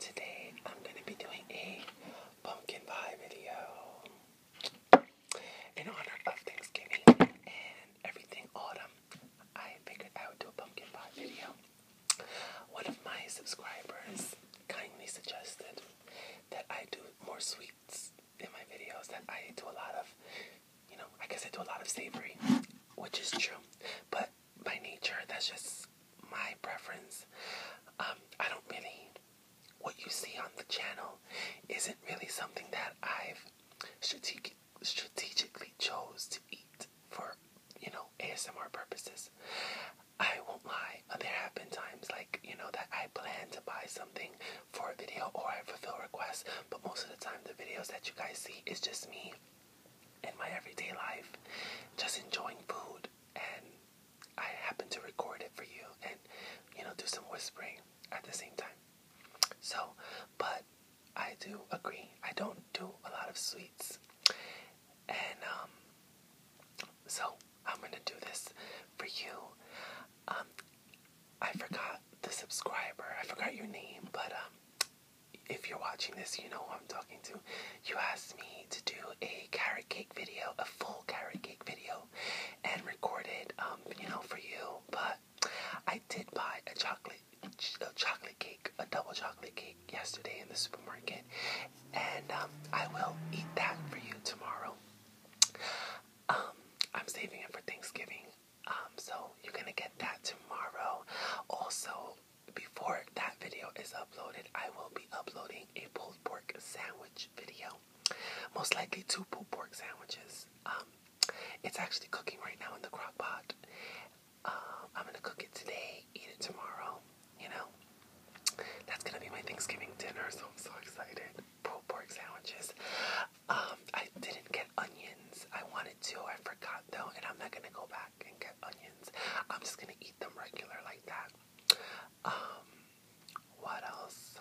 today I'm going to be doing a pumpkin pie video in honor of Thanksgiving and everything autumn. I figured I would do a pumpkin pie video. One of my subscribers kindly suggested that I do more sweets in my videos, that I do a lot of, you know, I guess I do a lot of savory, which is true, but by nature. That's just my preference. Um, I don't really. What you see on the channel isn't really something that I've strategic, strategically chose to eat for, you know, ASMR purposes. I won't lie. Uh, there have been times like, you know, that I plan to buy something for a video or I fulfill requests, but most of the time the videos that you guys see is just me in my everyday life, just enjoying food. And I happen to record it for you and, you know, do some whispering at the same time. So, but I do agree. I don't do a lot of sweets. And, um, so I'm gonna do this for you. Um, I forgot the subscriber. I forgot your name, but um, if you're watching this, you know I'm talking to. You asked me to do a carrot cake video, a full carrot cake video, and record it, um, you know, for you. But I did buy a chocolate, a chocolate cake, a double chocolate cake yesterday in the supermarket, and um, I will eat that for you tomorrow. Um, I'm saving it for Thanksgiving, um, so you're gonna get that tomorrow. Also, before that video is uploaded, I will be uploading a pulled pork sandwich video. Most likely two pulled pork sandwiches. Um, it's actually cooking right now in the crock pot. Um, I'm gonna cook it today, eat it tomorrow, you know. That's gonna be my Thanksgiving dinner, so I'm so excited. Pulled pork sandwiches. Um, I didn't get onions. I wanted to, I forgot though, and I'm not gonna go back and get onions. I'm just gonna eat them regular like that. Um, what else?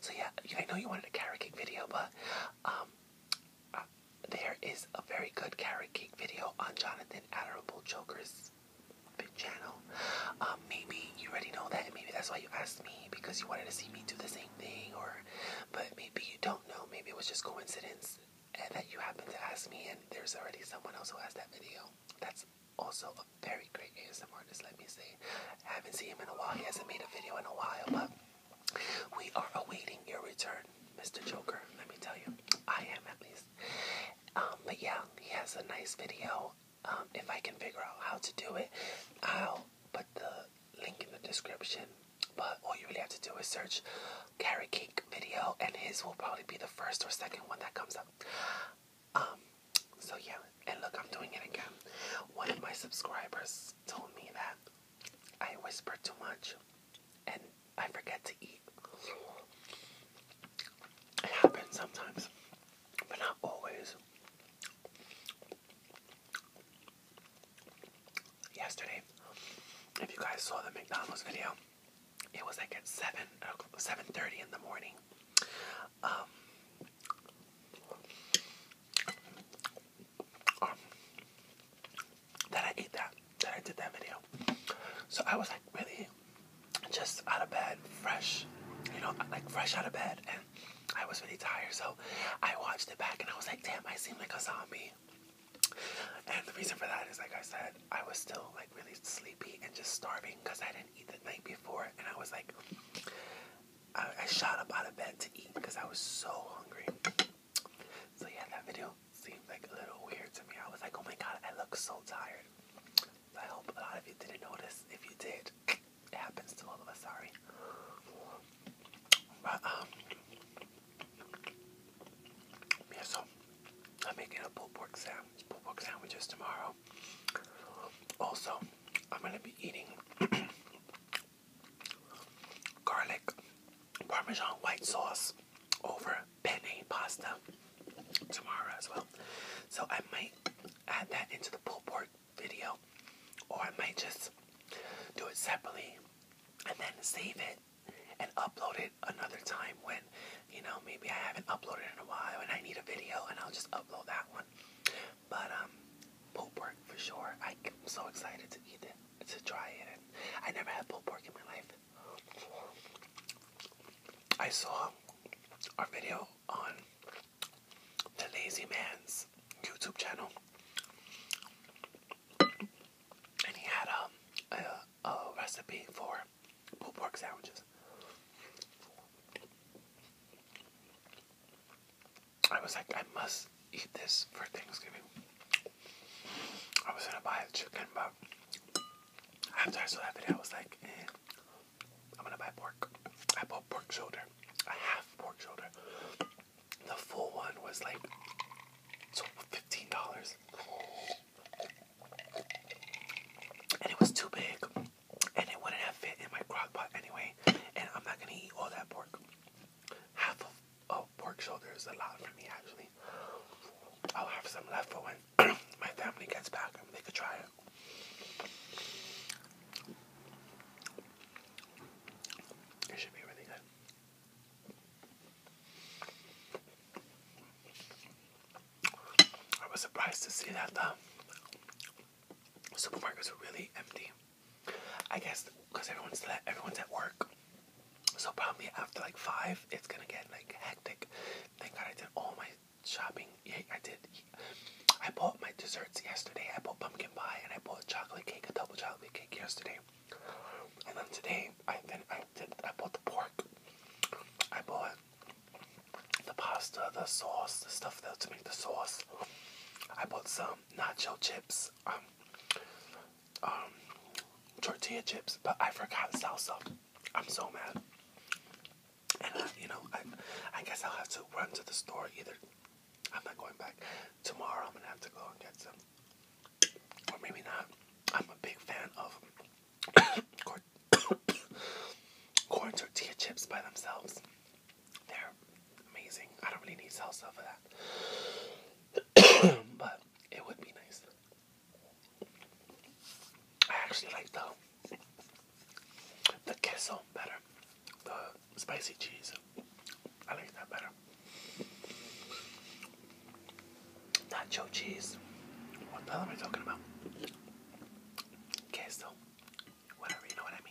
So yeah, I know you wanted a carrot cake video, but um, uh, there is a very good carrot cake video on Jonathan Adorable Joker's channel. Um, maybe you already know that, maybe that's why you asked me because you wanted to see me do the same thing, or but maybe you don't know. Maybe it was just coincidence and that you happen to ask me, and there's already someone else who has that video. That's also a very great ASMR artist, let me see. I haven't seen him in a while. He hasn't made a video in a while, but we are awaiting your return, Mr. Joker. Let me tell you, I am at least. Um, but yeah, he has a nice video. Um, if I can figure out how to do it, I'll put the link in the description but all you really have to do is search carrot cake video, and his will probably be the first or second one that comes up. Um, so yeah, and look, I'm doing it again. One of my subscribers told me that I whisper too much and I forget to eat. It happens sometimes, but not always yesterday. If you guys saw the McDonald's video, it was like at seven, uh, seven thirty in the morning. Um, um, that I ate that, that I did that video. So I was like really just out of bed, fresh, you know, like fresh out of bed, and I was really tired. So I watched it back, and I was like, damn, I seem like a zombie. And the reason for that is, like I said, I was still like really sleepy and just starving because I didn't eat the night before. And I was like, I, shot up out of bed to eat because I was so hungry. So, yeah, that video seems like a little weird to me. I was like, oh my god, I look so tired. I hope a lot of you didn't notice. If you did, it happens to all of us, sorry. But, um, yeah, so I'm making a pulled pork sandwich, pulled pork sandwiches tomorrow. Also, I'm gonna be eating garlic parmesan white sauce over penne pasta tomorrow as well. So I might add that into the pulled pork video, or I might just do it separately and then save it and upload it another time when, you know, maybe I haven't uploaded in a while and I need a video and I'll just upload that one. But, um, pulled pork for sure. I'm so excited to eat it, to try it. I never had pulled pork in my life. I saw our video on the Lazy Man's YouTube channel and he had um, a, recipe for pulled pork sandwiches. I was like, I must eat this for Thanksgiving. I was gonna buy a chicken, but after I saw that video, I was like, eh, I'm gonna buy pork. I bought pork shoulder, a half pork shoulder. The full one was like fifteen dollars, and it was too big, and it wouldn't have fit in my crock pot anyway. And I'm not gonna eat all that pork. Half a pork shoulder is a lot for me, actually. I'll have some left for when my family gets back they could try it. It should be really good. I was surprised to see that the supermarkets are really empty. I guess because everyone's at, everyone's at work, so probably after like five, it's gonna get like hectic. Thank God I did all my shopping. Yeah, I did. I bought my desserts yesterday. I bought pumpkin pie and I bought chocolate cake, a double chocolate cake yesterday. And then today, I then I did I bought the pork. I bought the pasta, the sauce, the stuff that to make the sauce. I bought some nacho chips, um, um, tortilla chips, but I forgot salsa. I'm so mad. And uh, you know, I, I guess I'll have to run to the store either I'm not going back. Tomorrow I'm gonna have to go and get some. Or maybe not. I'm a big fan of corn, tortilla chips by themselves. They're amazing. I don't really need salsa for that. but it would be nice. I actually like the the queso better. The spicy cheese. I like that better. Nacho cheese. What the hell am I talking about? Queso. Whatever, you know what I mean.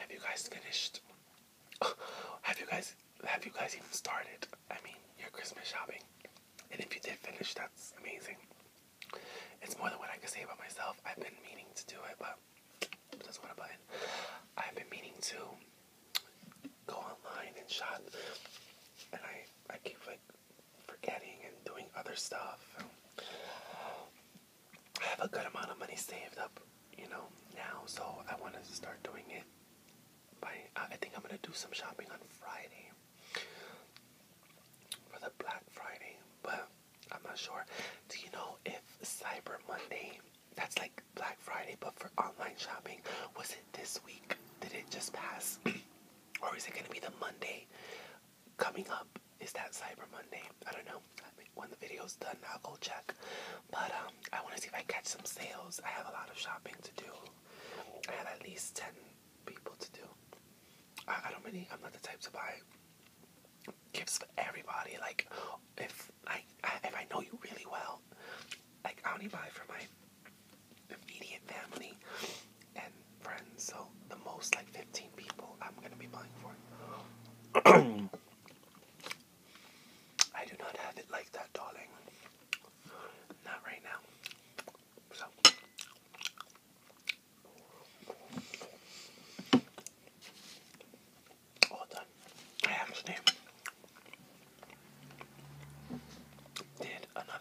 Have you guys finished? Have you guys have you guys even started? I mean, your Christmas shopping. And if you did finish, that's amazing. It's more than what I can say about myself. I've been meaning to do it, but that's what a button. I've been meaning to go online and shop, and I I keep like forgetting and doing other stuff. I have a good amount of money saved up, you know, now, so I want to start doing it my, uh, I think I'm gonna do some shopping on Friday for the Black Friday, but I'm not sure. Do you know if Cyber Monday, that's like Black Friday, but for online shopping, was it this week? Did it just pass? or is it gonna be the Monday coming up? Is that Cyber Monday? I don't know. When the video's done, I'll go check. But um, I want to see if I catch some sales. I have a lot of shopping to do. I have at least 10 people to do. I, don't really, I'm not the type to buy gifts for everybody. Like, if I, I if I know you really well, like I only buy for my immediate family and friends. So the most like 15 people I'm gonna be buying for. I do not have it like that, darling. Not right now. So. All done. I actually did another.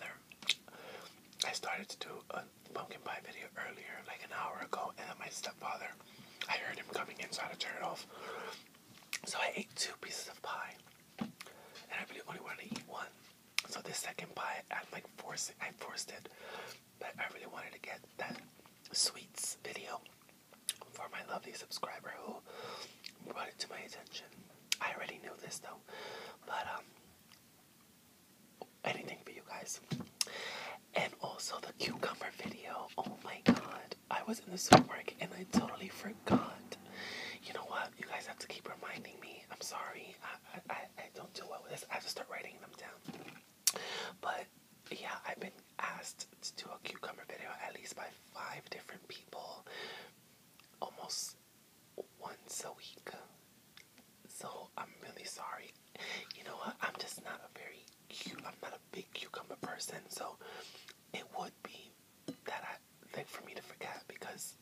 I started to do a pumpkin pie video earlier, like an hour ago, and then my stepfather, I heard him coming inside to turn it off. So I ate two pieces of pie and I really only wanted to eat one. So this second pie, I'm like forcing, I forced it, but I really wanted to get that sweets video for my lovely subscriber who brought it to my attention. I already knew this though, but um, anything for you guys. And also the cucumber video. Oh my god. I was in the supermarket and I totally forgot. You know what? You guys have to keep reminding me. I'm sorry. I I, I don't do well with this. I have to start writing them down. But yeah, I've been asked to do a cucumber video at least by five different people almost once a week. So I'm really sorry. You know what? I'm just not a very I'm not a big cucumber person, so it would be that I thing for me to forget because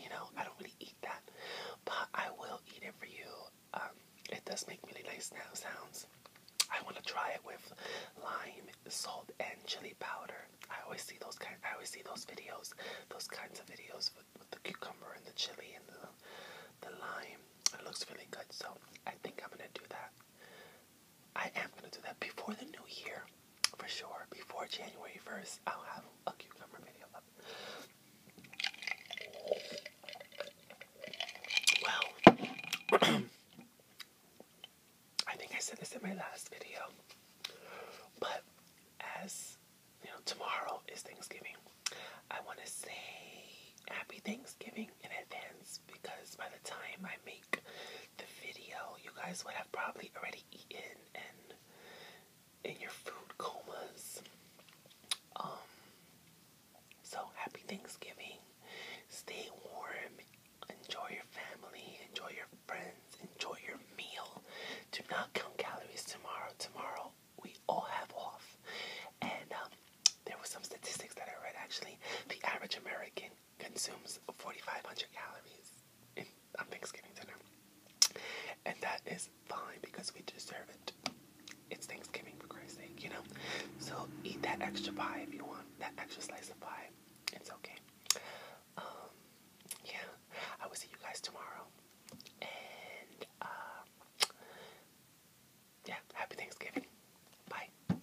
you know I don't really eat that, but I will eat it for you. Um, it does make really nice now sounds. I want to try it with lime, salt, and chili powder. I always see those kind. I always see those videos, those kinds of videos with, with the cucumber and the chili and the the lime. It looks really good, so I think I'm gonna do that. I am gonna do that before the new year, for sure. Before January first, I'll have a cucumber video Well, I think I said this in my last video, but as you know, tomorrow is Thanksgiving. I want to say happy Thanksgiving in advance because by the time I make the video, you guys would have probably already eaten and in your food comas. Um, so happy Thanksgiving. Stay warm. Enjoy your family. Enjoy your friends. Enjoy your meal. Do not count calories tomorrow. Tomorrow we all have off. And um, there were some statistics that I read actually. The average American consumes 4,500 calories in, on Thanksgiving dinner. And that is fine because we deserve it. It's Thanksgiving for Christ's sake, you know? So eat that extra pie if you want, that extra slice of pie. It's okay. Um, yeah. I will see you guys tomorrow. And, uh, yeah, happy Thanksgiving. Bye.